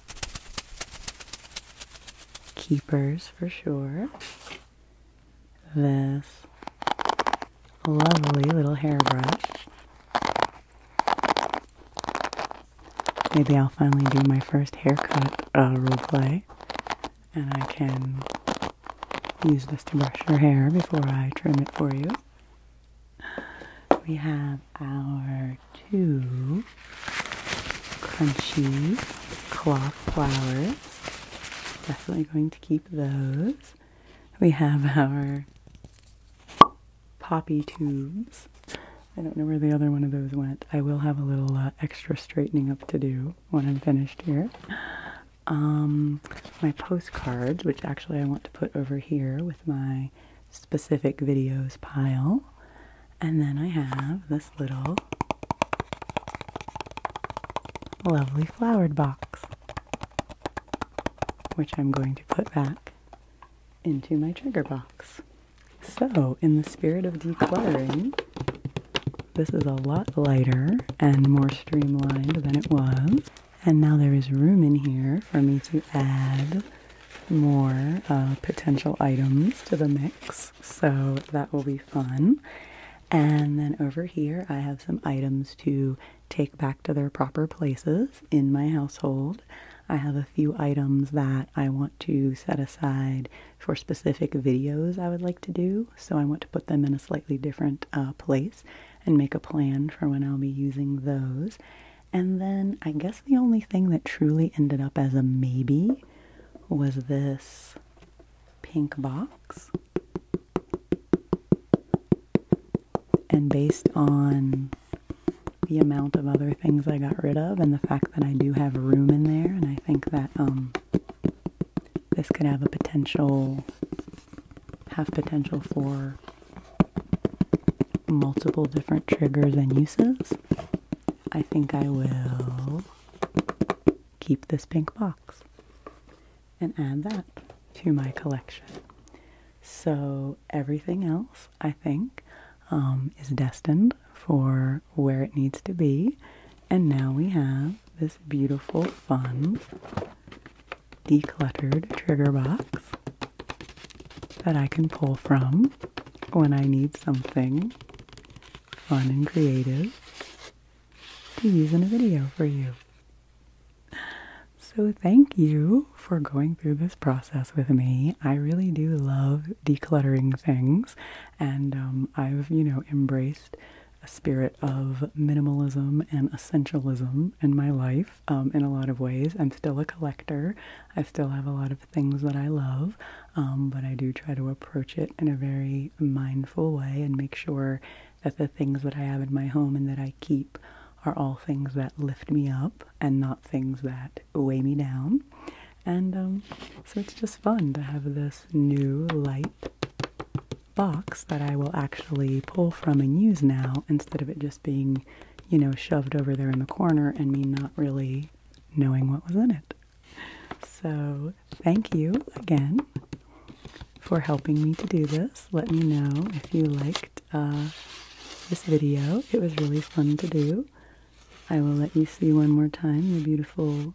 keepers for sure. This lovely little hairbrush maybe I'll finally do my first haircut uh, and I can use this to brush your hair before I trim it for you. We have our two crunchy cloth flowers. Definitely going to keep those. We have our poppy tubes. I don't know where the other one of those went. I will have a little uh, extra straightening up to do when I'm finished here. Um, my postcards, which actually I want to put over here with my specific videos pile. And then I have this little lovely flowered box, which I'm going to put back into my trigger box. So, in the spirit of decluttering, this is a lot lighter and more streamlined than it was. And now there is room in here for me to add more uh, potential items to the mix. So that will be fun. And then over here, I have some items to take back to their proper places in my household. I have a few items that I want to set aside for specific videos I would like to do. So I want to put them in a slightly different uh, place and make a plan for when I'll be using those. And then I guess the only thing that truly ended up as a maybe was this pink box. And based on the amount of other things I got rid of and the fact that I do have room in there and I think that um, this could have a potential have potential for multiple different triggers and uses. I think I will keep this pink box and add that to my collection. So everything else, I think um, is destined for where it needs to be. And now we have this beautiful, fun, decluttered trigger box that I can pull from when I need something fun and creative to use in a video for you. So, thank you for going through this process with me. I really do love decluttering things, and um, I've, you know, embraced a spirit of minimalism and essentialism in my life um, in a lot of ways. I'm still a collector, I still have a lot of things that I love, um, but I do try to approach it in a very mindful way and make sure that the things that I have in my home and that I keep are all things that lift me up and not things that weigh me down and um, so it's just fun to have this new light box that I will actually pull from and use now instead of it just being, you know, shoved over there in the corner and me not really knowing what was in it. So, thank you again for helping me to do this. Let me know if you liked uh, this video. It was really fun to do. I will let you see one more time the beautiful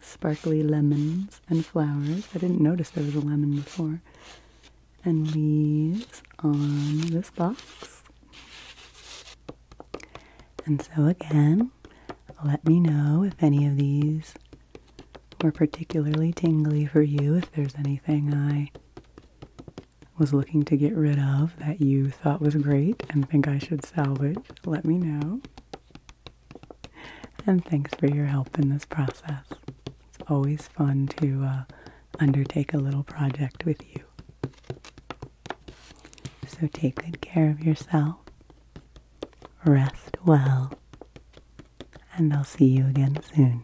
sparkly lemons and flowers. I didn't notice there was a lemon before. And leaves on this box. And so, again, let me know if any of these were particularly tingly for you, if there's anything I was looking to get rid of that you thought was great and think I should salvage, let me know. And thanks for your help in this process. It's always fun to uh, undertake a little project with you. So take good care of yourself, rest well, and I'll see you again soon.